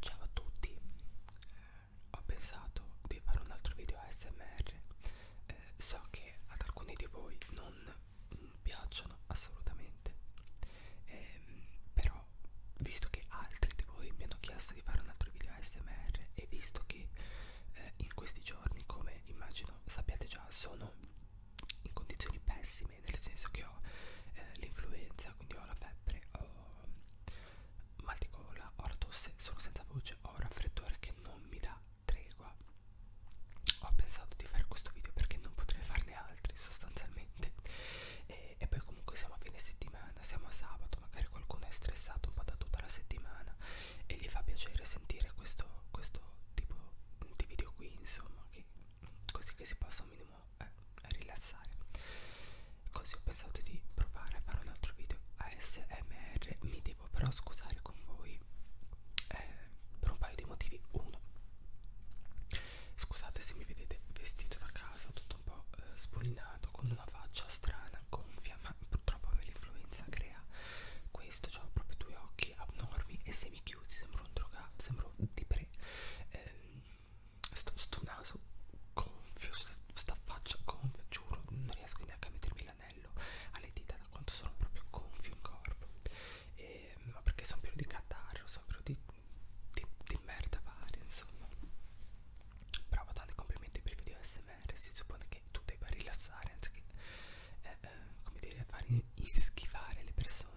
Ciao a tutti, eh, ho pensato di fare un altro video ASMR, eh, so che ad alcuni di voi non piacciono assolutamente, eh, però visto che altri di voi mi hanno chiesto di fare un altro video ASMR e visto che eh, in questi giorni come immagino sappiate già sono in condizioni pessime, nel senso che ho eh, l'influenza, quindi ho la febbre, ho Ehm, mal di gola, ora tosse, sono senza voce, ho un raffreddore che non mi dà tregua. Ho pensato di fare questo video perché non potrei farne altri sostanzialmente. E, e poi comunque siamo a fine settimana, siamo a sabato, magari qualcuno è stressato un po' da tutta la settimana e gli fa piacere sentire questo, questo tipo di video qui, insomma, che, così che si possa minimizzare minimo eh, rilassare così ho pensato di provare a fare un altro video ASMR mi devo però scusare con voi eh, per un paio di motivi uno scusate se mi vedete vestito da casa tutto un po' eh, spolinato con una faccia strana gonfia ma purtroppo l'influenza crea questo cioè ho proprio due occhi abnormi e se mi chiusi sembro un drogato sembro di pre ehm, sto, sto naso gonfio, sta, sta faccia gonfia, giuro, non riesco neanche a mettermi l'anello alle dita da quanto sono proprio gonfio in corpo. E, ma perché sono pieno di catarro, sono pieno di, di, di merda varia, insomma. Però tanti complimenti per i video ASMR, si suppone che tu debba rilassare anziché, eh, eh, come dire, fare ischifare le persone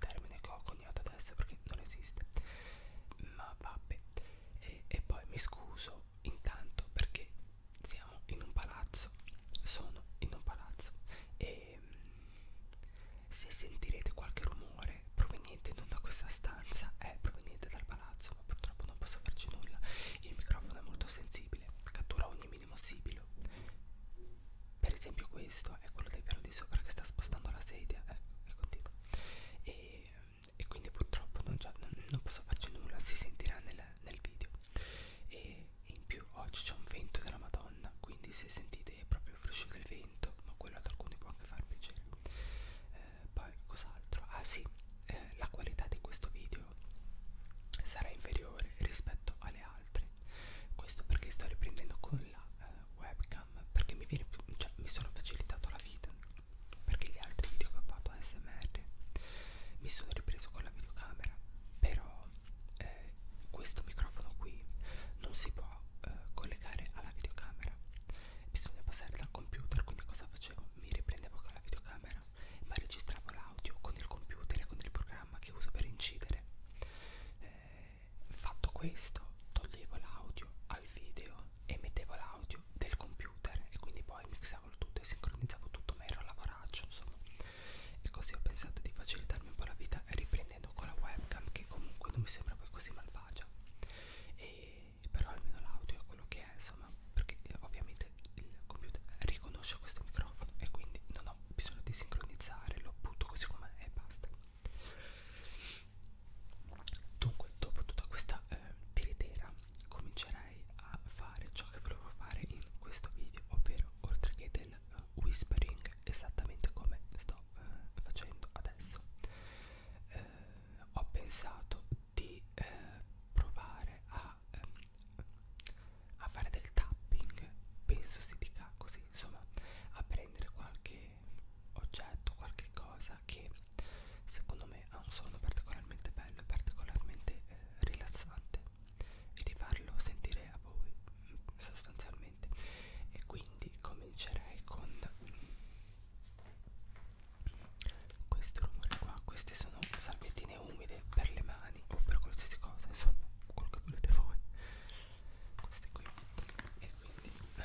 termine che ho coniato adesso perché non esiste ma vabbè e, e poi mi scuso intanto perché siamo in un palazzo sono in un palazzo e mm, se sentirete qualche rumore proveniente non da questa stanza è eh, proveniente dal palazzo ma purtroppo non posso farci nulla il microfono è molto sensibile cattura ogni minimo sibilo per esempio questo è quello del piano di sopra che sta spostando la sedia ecco eh, e continua e, e quindi purtroppo non, già, non, non posso farci nulla, si sentirà nel, nel video e in più oggi c'è un vento della madonna quindi se sentite proprio il fruscio del vento ma quello ad alcuni può anche far piacere eh, poi cos'altro? ah sì, eh, la qualità di questo video sarà inferiore rispetto alle altre questo perché sto riprendendo con la eh, webcam Instagram perché mi, viene, cioè, mi sono facilitato la vita perché gli altri video che ho fatto ASMR mi sono ripreso con la videocamera però eh, questo microfono qui non si può eh, collegare alla videocamera bisogna passare dal computer quindi cosa facevo? mi riprendevo con la videocamera ma registravo l'audio con il computer e con il programma che uso per incidere eh, eh, fatto questo toglievo l'audio al video e mettevo l'audio del computer e quindi poi mixavo il tutto e sincronizzavo tutto ma ero a lavoraccio insomma e così ho pensato di facilitarmi un po' la vita riprendendo con la webcam che comunque non mi sembra poi così malvagia e però almeno l'audio è quello che è insomma perché eh, ovviamente il computer riconosce questo microfono e quindi non ho bisogno di sincronizzare lo butto così com'è e basta Dunque, dopo tutta questa eh, tiritera, comincerei a fare ciò che volevo fare in questo video, ovvero oltre che del uh, whispering, esattamente come sto eh, facendo adesso. Eh, ho pensato di eh, provare a, ehm, a fare del tapping, penso si dica così, insomma, a prendere qualche oggetto, qualche cosa che secondo me ha un suono particolarmente bello e particolarmente eh, rilassante e di farlo sentire a voi mm, sostanzialmente e quindi comincerei con questo rumore qua queste sono salviettine umide per le mani o per qualsiasi cosa insomma quello che volete voi queste qui e quindi eh,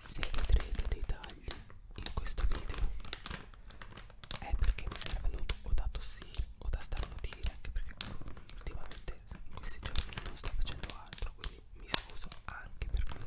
Se vedrete dei tagli in questo video è perché mi servono o da tossire o da starlo dire anche perché ultimamente in questi giorni non sto facendo altro quindi mi scuso anche per questo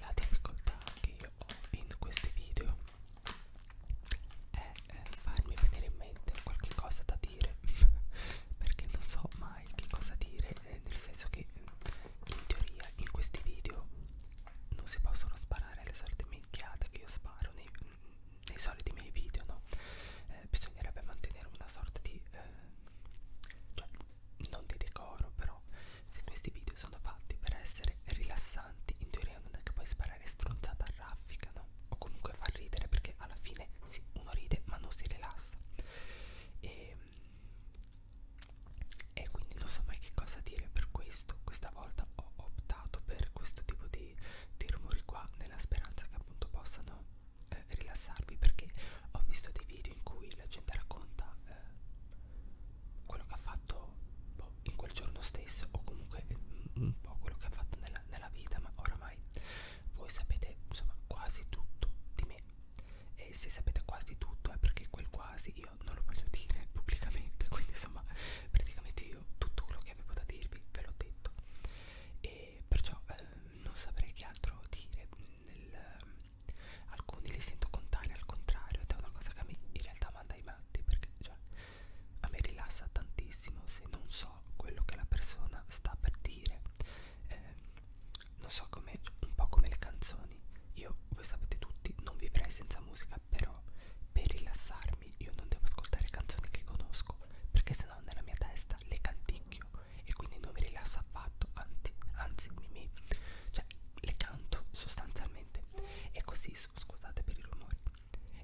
La difficoltà che io ho in questi video è eh, farmi venire in mente qualche cosa da dire perché non so mai che cosa dire, eh, nel senso che mm, in teoria in questi video non si possono sparare le solite minchiate che io sparo nei, nei soliti miei video, no? Eh, bisognerebbe mantenere una sorta di eh, cioè, non di decoro però se questi video sono fatti per essere rilassanti in teoria non è che puoi sparare stronzata a raffica no? o comunque far ridere perché alla fine sì, uno ride ma non si rilassa e, ehm, e quindi non so mai che cosa dire per questo questa volta ho optato per questo tipo di, di rumori qua nella speranza che appunto possano eh, rilassarvi perché ho visto dei video in cui la gente racconta eh, quello che ha fatto boh, in quel giorno stesso o comunque eh, un po' quello che ha fatto nella, nella vita ma oramai voi sapete insomma quasi tutto di me e se sapete quasi tutto è perché quel quasi io non lo voglio dire pubblicamente quindi insomma praticamente io tutto quello che avevo da dirvi ve l'ho detto e perciò eh, non saprei che altro dire nel, ehm, alcuni li sento contare al contrario ed è una cosa che mi, in realtà manda i matti perché cioè, a me rilassa tantissimo se non so quello che la persona sta per dire eh, non so come un po' come le canzoni io voi sapete tutti non vivrei senza musica però per rilassarmi io non devo ascoltare canzoni che conosco perché se no nella mia testa le canticchio e quindi non mi rilassa affatto, anzi, anzi mi, mi, cioè, le canto sostanzialmente. E così, scusate per i rumori,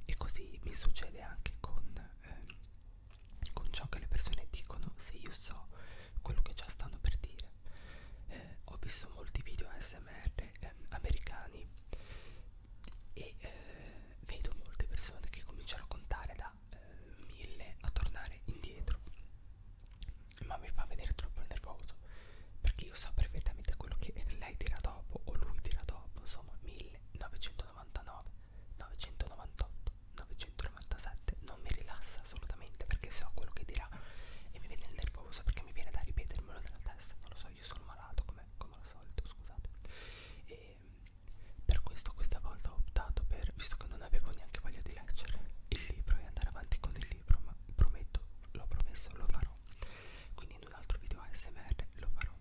e così mi succede anche con, eh, con ciò che le persone dicono se io so quello che già stanno per dire. Eh, ho visto molti video ASMR eh, americani e eh, vedo molte persone che cominciano a contare da eh, mille a tornare indietro ma mi fa vedere troppo nervoso perché io so perfettamente quello che lei tira dopo o lui tira dopo insomma 1999 998 997 non mi rilassa assolutamente perché so quello che dirà e mi viene nervoso perché mi viene da ripetermelo nella testa non lo so io sono malato come, come al solito scusate e per questo questa volta ho optato per, visto che non avevo neanche voglia di leggere il libro e andare avanti con il libro, ma prometto, l'ho promesso, lo farò. Quindi in un altro video ASMR lo farò.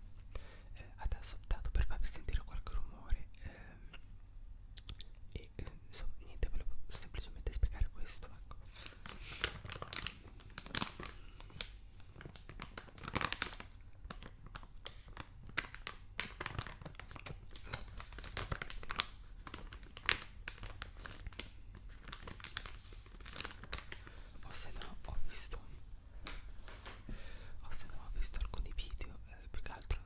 Eh, adesso ho optato per farvi sentire qualche rumore ehm, e eh, insomma niente, volevo semplicemente spiegare questo, ecco o se no ho visto o se no ho visto alcuni video eh, più che altro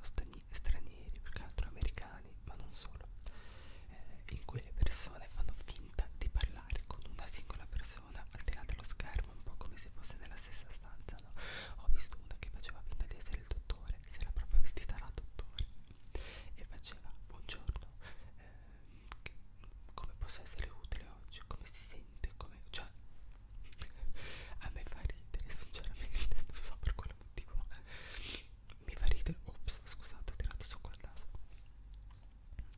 stranieri più che altro americani ma non solo eh, in cui le persone fanno finta di parlare con una singola persona al di là dello schermo un po' come se fosse nella stessa stanza no? ho visto una che faceva finta di essere il dottore che si era proprio vestita da dottore e faceva buongiorno eh, come posso essere utile oggi come si sente come cioè a me fa ridere sinceramente non so per quale motivo mi fa ridere ops scusate ho tirato su col naso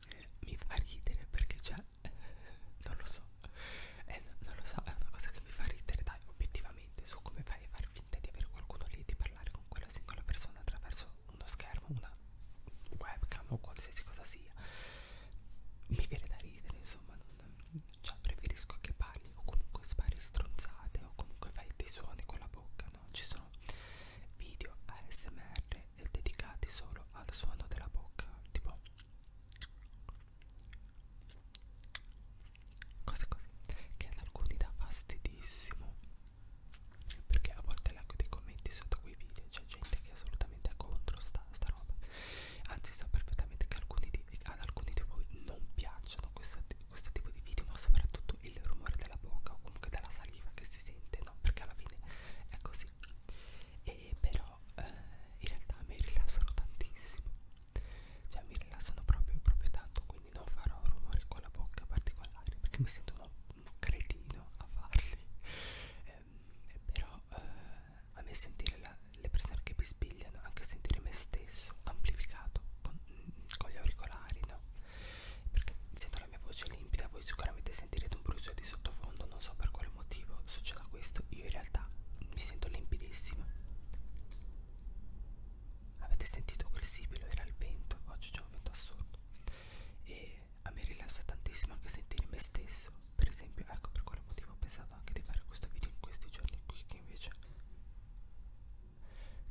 eh, mi fa ridere perché c'è cioè, non lo so eh, non lo so è una cosa che mi fa ridere dai obiettivamente su come fai a far far finta di avere qualcuno lì e di parlare con quella singola persona attraverso uno schermo, una webcam o qualsiasi cosa sia mi viene da ridere insomma non, cioè preferisco che parli o comunque spari stronzate o comunque fai dei suoni con la bocca no? ci sono video ASMR dedicati solo al suono della bocca tipo cose così che ad alcuni dà fastidissimo perché a volte leggo dei commenti sotto quei video c'è gente che è assolutamente contro sta, sta roba anzi so perfettamente che alcuni di, ad alcuni di voi non piacciono questo, questo tipo di video ma soprattutto il rumore della bocca o comunque della saliva che si sente no perché alla fine è così e però eh, in realtà mi rilassano tantissimo cioè mi rilassano proprio, proprio tanto quindi non farò rumori con la bocca particolari perché mi sento un cretino a farli eh, però eh, a me sentire la, le persone che mi spigliano anche sentire me stesso amplificato con, con gli auricolari no perché sento la mia voce limpida voi sicuramente sentirete un brucio di sottofondo non so per quale motivo succeda questo io in realtà mi sento limpidissima Avete sentito quel sibilo? Era il vento, oggi c'è un vento assurdo. E a me rilassa tantissimo anche sentire me stesso. Per esempio, ecco per quale motivo ho pensato anche di fare questo video in questi giorni qui, che invece,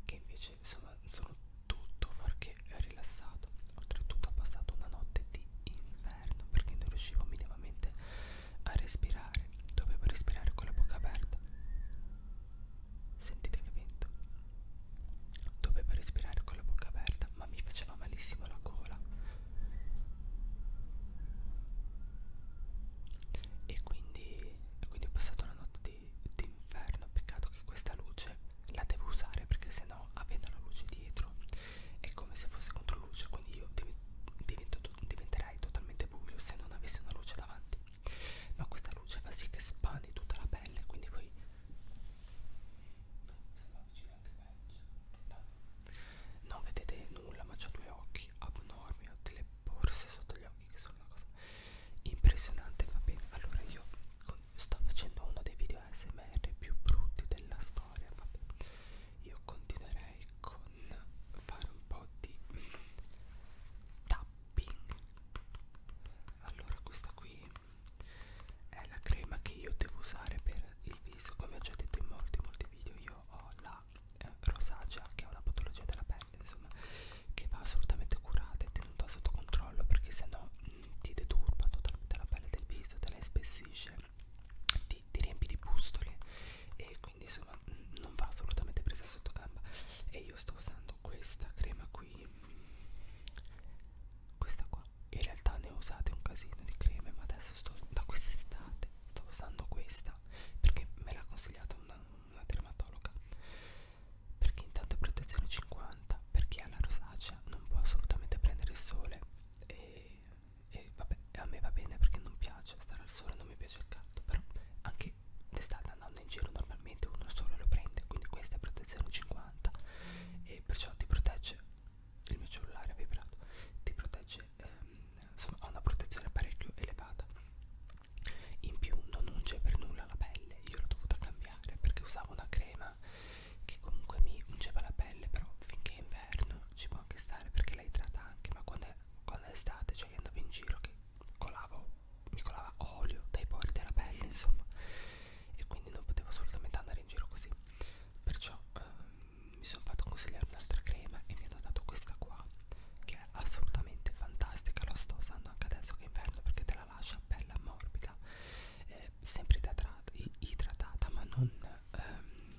che invece insomma, sono tutto fuorché rilassato. Oltretutto ho passato una notte di inferno perché non riuscivo minimamente a respirare dovevo respirare con la bocca aperta sentite che vento dovevo respirare con la bocca aperta ma mi faceva malissimo la gola e quindi, e quindi è passata una notte di, di inferno peccato che questa luce la devo usare perché sennò avendo la luce dietro è come se fosse contro luce quindi io divento, diventerei totalmente buio se non avessi una luce davanti ma questa luce fa sì che spandi tutta la pelle quindi voi non vedete nulla ma c'ha due occhi abnormi ho delle borse sotto gli occhi che sono una cosa impressionante va bene allora io sto facendo uno dei video ASMR più brutti della storia vabbè io continuerei con con fare un po' di tapping allora questa qui è la crema che io devo usare per il viso come ho già detto in molti molti video io ho la eh, rosacea che è una patologia della pelle insomma che va assolutamente curata e tenuta sotto controllo perché se no mm, ti deturba totalmente la pelle del viso te la spessisce ti, ti riempi di pustole e quindi quindi insomma non va assolutamente presa sotto gamba e io sto usando questa crema qui questa qua in realtà ne ho usate un casino di creme ma adesso sto da quest'estate sto usando questa perché me l'ha consigliata una, una dermatologa perché intanto è protezione 50 per chi ha la rosacea non può assolutamente prendere il sole e, e vabbè a me va bene perché non piace stare al sole non mi piace il caldo però anche che d'estate andando in giro normalmente uno solo lo prende quindi questa è protezione 50 e perciò ti protegge il mio cellulare ha vibrato ti protegge ehm, insomma ha una protezione parecchio elevata in più non unge per nulla la pelle io l'ho dovuta cambiare perché usavo una crema che comunque mi ungeva la pelle però finché è inverno ci può anche stare perché la idrata anche ma quando è, quando è estate cioè io andavo in giro che colavo, mi colava olio dai pori della pelle insomma e quindi non potevo assolutamente andare in giro così perciò ehm, mi sono fatto consigliare un'altra crema e mi hanno dato questa qua che è assolutamente fantastica la sto usando anche adesso che è inverno perché te la lascia bella morbida eh, sempre idratata ma non ehm,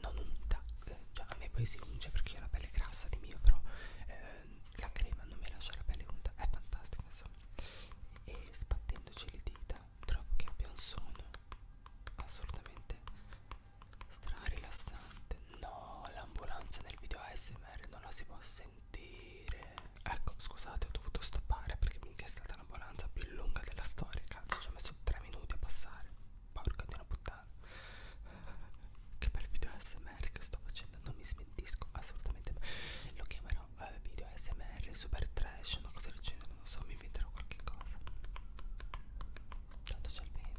non unta eh, cioè a me poi si unge perché io ho la pelle grassa di mio però eh, la crema non mi lascia la pelle nuda, è fantastica insomma e sbattendoci le dita trovo che abbia un suono assolutamente strarilassante no l'ambulanza nel video ASMR non la si può sentire ecco scusate ho dovuto stoppare perché minchia è stata l'ambulanza più lunga della storia cazzo ci ho messo 3 minuti a passare Porca di una puttana Che bel video ASMR che sto facendo Non mi smentisco assolutamente Lo chiamerò eh, video ASMR Super trash una cosa del genere Non so mi inventerò qualche cosa Tanto c'è il vento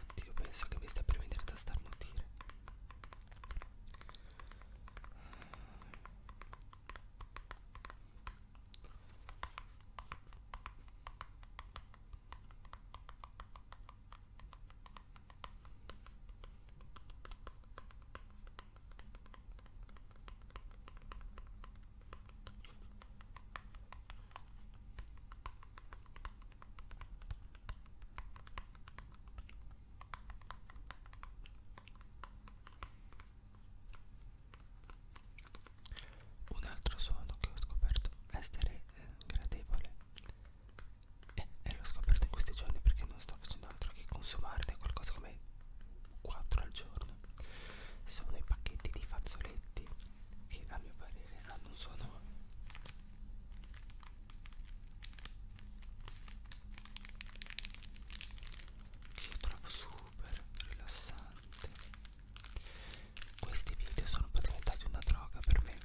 Oddio, penso che mi stia per venire da starnutire. Un altro suono che ho scoperto essere eh, gradevole e, eh, e l'ho scoperto in questi giorni perché non sto facendo altro che consumarne qualcosa come 4 al giorno. Sono i pacchetti di fazzoletti che a mio parere hanno un suono che io trovo super rilassante questi video sono poi diventati una droga per me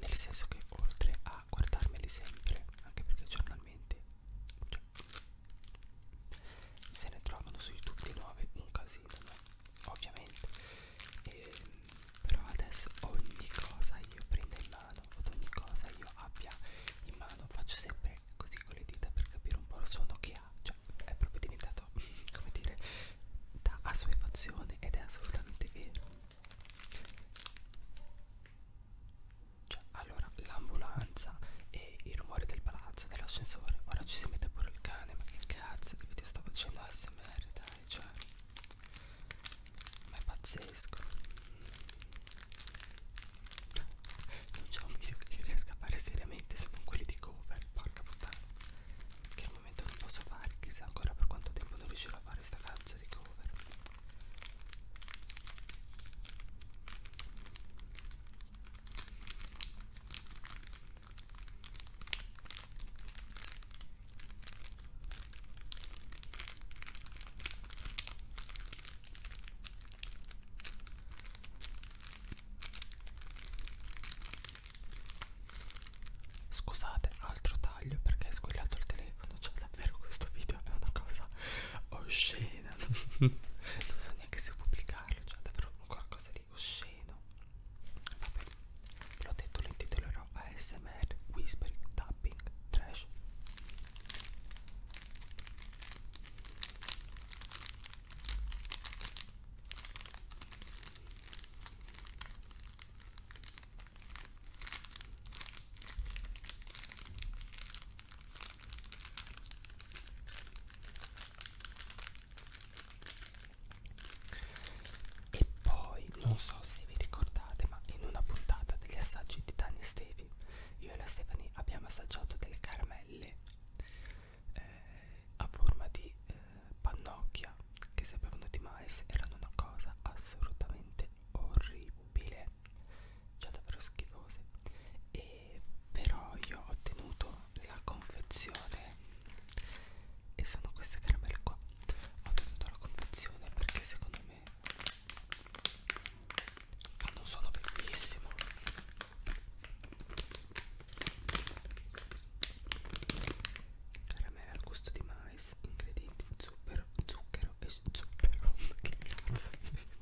nel senso che oltre a guardarmeli sempre anche perché giornalmente cioè, se ne trovano su youtube di nuove un casino no? ovviamente e, ehm, però adesso ogni cosa io prenda in mano ad ogni cosa io abbia in mano faccio sempre così con le dita per capire un po' lo suono che ha cioè è proprio diventato come dire da assuefazione ed è assolutamente vero cioè allora l'ambulanza e il rumore del palazzo dell'ascensore ora ci si mette pure il cane ma che cazzo che video stavo facendo ASMR dai fare cioè ma è pazzesco non c'è un video che io riesca a fare seriamente se non quelli di cover porca puttana che al momento non posso fare chissà ancora per quanto tempo non riuscirò a fare sta cazzo di cover Scusate, altro taglio perché è squillato il telefono, cioè davvero questo video è una cosa oscena, non so neanche se pubblicarlo, cioè davvero qualcosa di osceno vabbè l'ho detto lo intitolerò ASMR Whispering Tapping Trash e poi, non so se vi ricordate, ma in una puntata degli assaggi di Tania e Stevie, io e la Stephanie abbiamo assaggiato delle caramelle eh, a forma di eh, pannocchia che sapevano di mais, erano una cosa assolutamente orribile, cioè davvero schifose. E però io ho ottenuto la confezione e sono queste caramelle qua ho tenuto la confezione perché secondo me fanno un suono bellissimo caramelle al gusto di mais ingredienti zucchero zucchero e zucchero che cazzo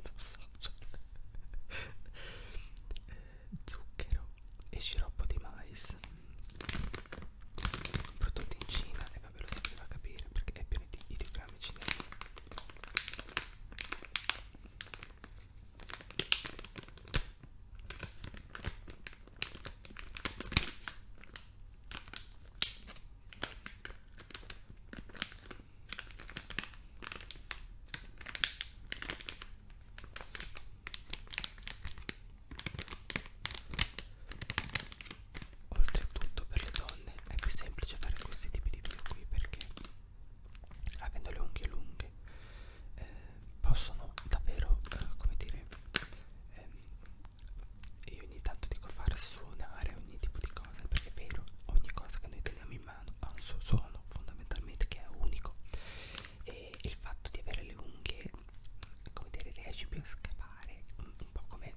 non so cioè. eh, zucchero e sciroppo di mais prodotti in Cina e vabbè lo si poteva capire perché è pieno di ideogrammi cinesi Oltretutto per le donne è più semplice fare questi tipi di video qui perché avendo le unghie lunghe eh, possono davvero, eh, come dire, eh, io ogni tanto dico far suonare ogni tipo di cosa perché è vero, ogni cosa che noi teniamo in mano ha un suo suono fondamentalmente che è unico e il fatto di avere le unghie come dire riesci più a scavare un, un po' come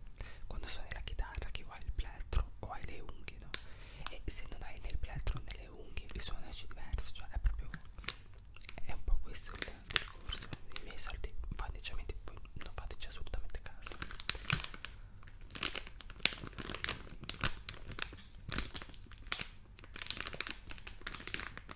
quando suoni la chitarra che o hai il plettro o hai le unghie no? e se non hai né il plettro né le unghie il suono esce diverso cioè è proprio è un po' questo il discorso i miei soldi fateci, voi non fateci assolutamente caso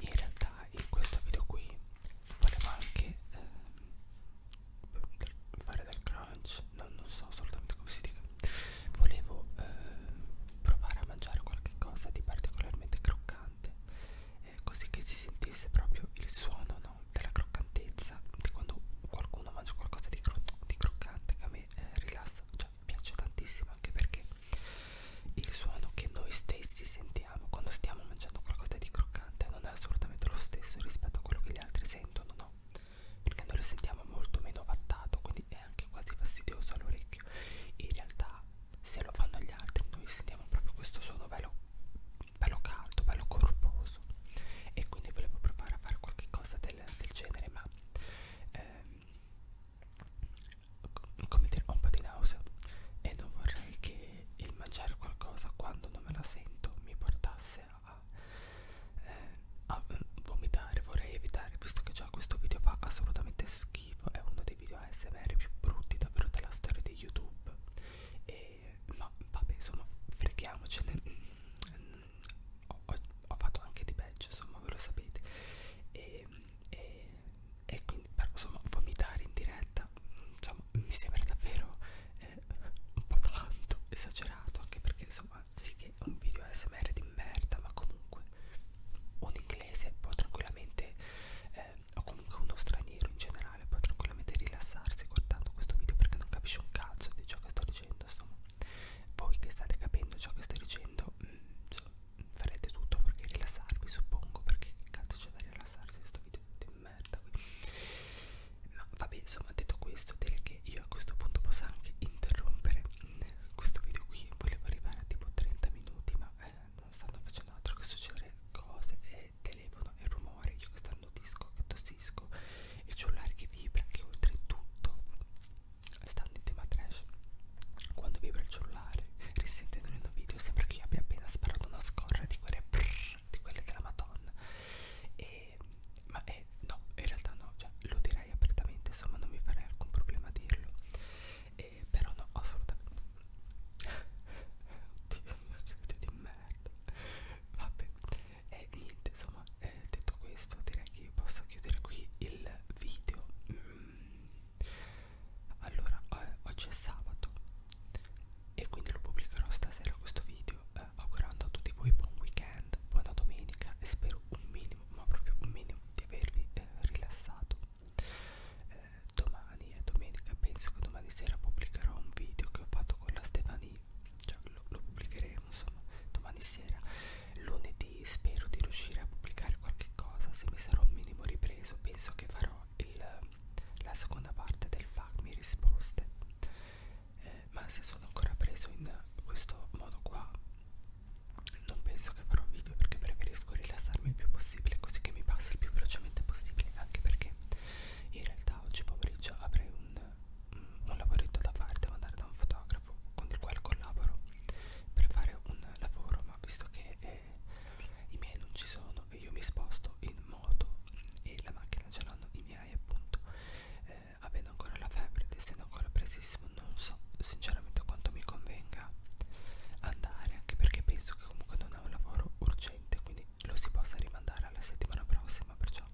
In realtà in questo video qui volevo anche eh, fare del crunch, non, non so assolutamente come si dica. Volevo eh, provare a mangiare qualche cosa di particolarmente croccante eh, così che si sentisse proprio il suono no, della croccantezza di quando qualcuno mangia qualcosa di, cro di croccante che a me eh, rilassa cioè piace tantissimo anche perché il suono che noi stessi sentiamo quando stiamo mangiando qualcosa di croccante non è assolutamente lo stesso rispetto a quello che gli altri sentono no perché noi lo sentiamo molto meno vattato quindi è anche quasi fastidioso all'orecchio in realtà se lo fanno gli altri noi sentiamo proprio questo suono bello, bello caldo, bello corposo e quindi volevo provare a fare qualche cosa del, del genere ma ehm, come dire ho un po' di nausea e non vorrei che il mangiare qualcosa quando non me la sento mi portasse a, eh, a eh, vomitare vorrei evitare visto che già questo video fa assolutamente schifo schifo, è uno dei video ASMR più brutti davvero della storia di YouTube. E, ma vabbè, insomma, freghiamocene. Ho, ho, ho fatto anche di peggio, insomma, ve lo sapete. E, e, e quindi, però, insomma, vomitare in diretta, insomma, mi sembra davvero eh, un po' tanto esagerato, anche perché, insomma, sì che è un video ASMR di merda, ma comunque un inglese può tranquillamente eh, o comunque uno straniero in generale può tranquillamente rilassarsi guardando questo video perché non capisce un cazzo di ciò che sto dicendo insomma voi che state capendo ciò che sto dicendo mh, mm, farete tutto perché rilassarvi suppongo perché che cazzo c'è da rilassarsi questo video di merda qui ma vabbè insomma detto questo direi che io a questo punto posso anche interrompere questo video qui volevo arrivare a tipo 30 minuti ma eh, non stanno facendo altro che succedere cose e telefono e rumore io che stanno disco che tossisco il cellulare che vibra che oltretutto stanno in tema trash quando vibra il cellulare risentendo nel video sembra che io abbia appena sparato una scorra di quelle brrr, di quelle della madonna e ma eh, no in realtà no cioè lo direi apertamente insomma non mi farei alcun problema a dirlo e e eh, però no assolutamente oddio mio che video di merda vabbè e eh, niente insomma eh, detto questo direi che posso chiudere qui il video mm. allora eh, oggi è sabato e quindi lo pubblicherò stasera questo video eh, augurando a tutti voi buon weekend buona domenica e spero un minimo ma proprio un minimo di avervi eh, rilassato eh, domani è domenica penso che domani sera pubblicherò un video che ho fatto con la Stefania cioè lo, lo pubblicheremo insomma domani sera lunedì spero di riuscire a pubblicare qualche cosa se mi sarò un minimo ripreso penso che farò il, la seconda parte del FAQ mi risposte eh, ma se sono ancora preso in questo modo qua non penso che farò un video perché preferisco rilassarmi il più possibile così che mi passi il più velocemente possibile anche perché in realtà oggi pomeriggio avrei un, mm, un lavoretto da fare devo andare da un fotografo con il quale collaboro per fare un lavoro ma visto che eh, i miei non ci sono e io mi sposto in moto e la macchina ce l'hanno i miei appunto eh, avendo ancora la febbre ed essendo ancora presi tantissimo non so sinceramente quanto mi convenga andare anche perché penso che comunque non è un lavoro urgente quindi lo si possa rimandare alla settimana prossima perciò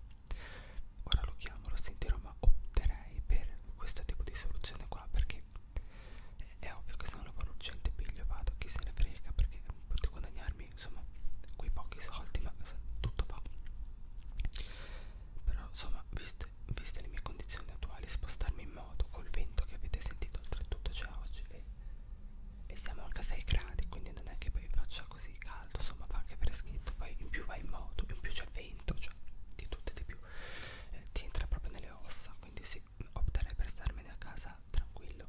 ora lo chiamo lo sentirò ma opterei per questo tipo di soluzione qua perché è ovvio che se è un lavoro urgente piglio vado chi se ne frega perché potrei guadagnarmi insomma quei pochi soldi ma tutto va però insomma viste viste le mie condizioni attuali, spostarmi in moto col vento che avete sentito oltretutto c'è oggi e, e siamo anche a 6 gradi, quindi non è che poi faccia così caldo, insomma fa anche freschetto, poi in più vai in moto, in più c'è vento, cioè di tutto e di più, eh, ti entra proprio nelle ossa, quindi sì, opterei per starmene a casa tranquillo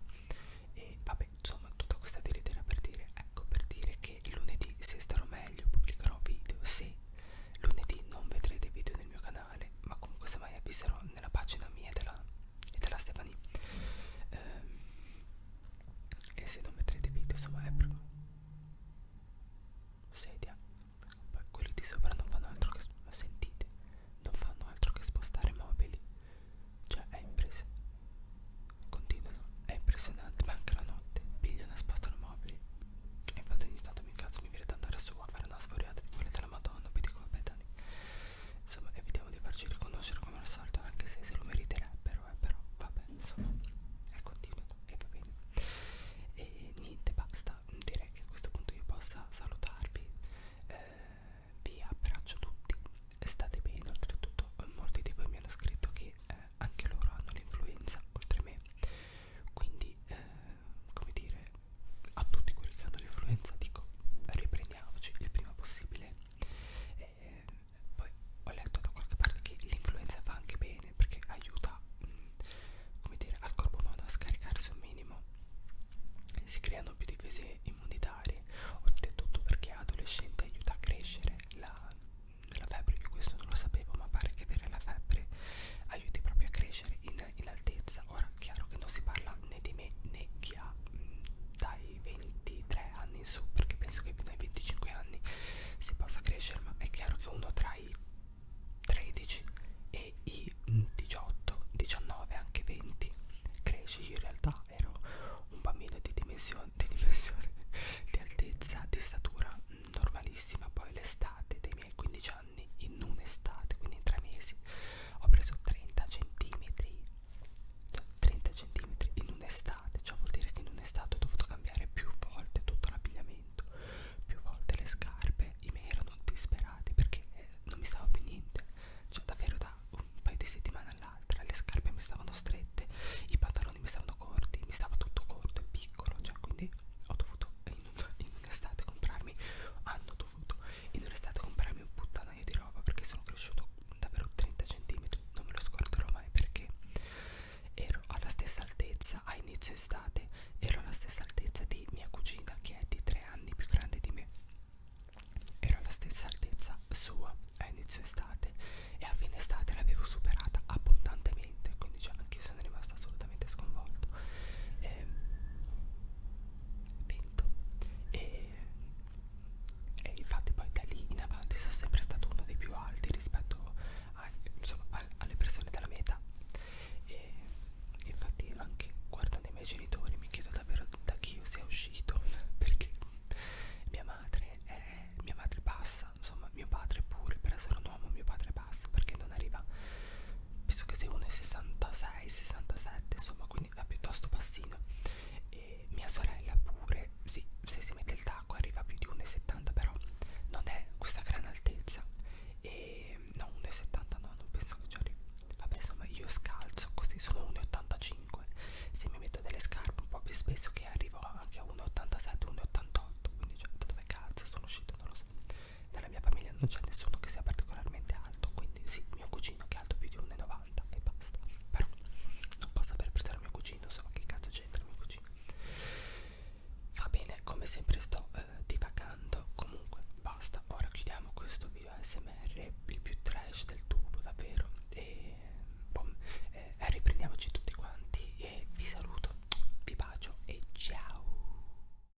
e vabbè, insomma tutta questa tiritera per dire, ecco per dire che lunedì se starò meglio pubblicherò video, se lunedì non vedrete video nel mio canale canale ma comunque se mai avviserò nella pagina mia e della, e della Stefani ehm, e se non metterete video insomma è proprio sedia poi quelli di sopra non fanno altro che sentite non fanno altro che spostare mobili cioè è impressionante continuano è impressionante ma anche la notte pigliano e spostano mobili e infatti ogni tanto mi incazzo mi viene da andare su a fare una sforiata di quelle della madonna vedi come pedani insomma evitiamo di farci riconoscere come al solito anche se se lo meriterebbero eh, però vabbè insomma è continuato e va bene e niente basta direi che a questo punto io possa salutarvi eh, vi abbraccio tutti state bene oltretutto molti di voi mi hanno scritto che eh, anche loro hanno l'influenza oltre me quindi eh, come dire a tutti quelli che hanno l'influenza dico riprendiamoci il prima possibile e poi ho letto da qualche parte che l'influenza fa anche bene perché aiuta mm, come dire al corpo umano a scaricarsi un minimo si creano più difese immunitarie oltretutto perché adolescente aiuta a crescere la, la febbre io questo non lo sapevo ma pare che avere la febbre aiuti proprio a crescere in in, in altezza ora chiaro che non si parla né di me né chi ha mh, mm, dai 23 anni in su perché penso che dai 25 anni si possa crescere ma è chiaro che uno tra i 13 e i 18 19 anche 20 cresce io in realtà ero un bambino di dimensione di dimensione di altezza di statura mm, normalissima poi l'estate dei miei 15 anni anni in un'estate, quindi in tre mesi ho preso 30 centimetri, cioè 30 centimetri in un'estate, cioè vuol dire che in un'estate ho dovuto cambiare più volte tutto l'abbigliamento, più volte le scarpe, i miei erano disperati perché eh, non mi stava più niente, cioè davvero da un paio di settimane all'altra le scarpe mi stavano strette, i pantaloni mi stavano corti, mi stava tutto corto e piccolo, cioè quindi ho dovuto in, in estate comprarmi, hanno foto foto e non è stato comprarmi un puttanaio di roba perché sono cresciuto davvero 30 cm non me lo scorderò mai perché ero alla stessa altezza a inizio estate ero alla stessa altezza di mia cugina che è di 3 anni più grande di me ero alla stessa altezza sua a inizio estate e a fine estate l'avevo superata abbondantemente quindi già cioè, anche io sono rimasta assolutamente sconvolto eh, vento e, e infatti poi da lì in avanti sono sempre stato uno dei più alti rispetto a, insomma, a, alle persone della meta e infatti anche guardando i miei genitori mi chiedo davvero da chi io sia uscito perché mia madre è mia madre bassa insomma mio padre pure per essere un uomo mio padre è basso perché non arriva penso che sia 1,66 67 insomma quindi è piuttosto bassino e mia sorella pure sì se si mette il tacco arriva a più di 1,70 però non è questa gran altezza e no 1,70 no non penso che ci arrivi vabbè insomma io scalzo così sono 1,85 se mi metto delle scarpe un po' più spesso che arrivo anche a 1,87 1,88 quindi cioè, da dove cazzo sono uscito non lo so nella mia famiglia non c'è nessuno che sia particolarmente alto, quindi sì, mio cugino che è alto più di 1,90 e basta. Però non posso aver preso il mio cugino, so che cazzo c'entra il mio cugino. Va bene, come sempre sto eh, divagando, comunque basta. Ora chiudiamo questo video ASMR, il più trash del tubo davvero. E boom, eh, riprendiamoci tutti quanti e vi saluto, vi bacio e ciao!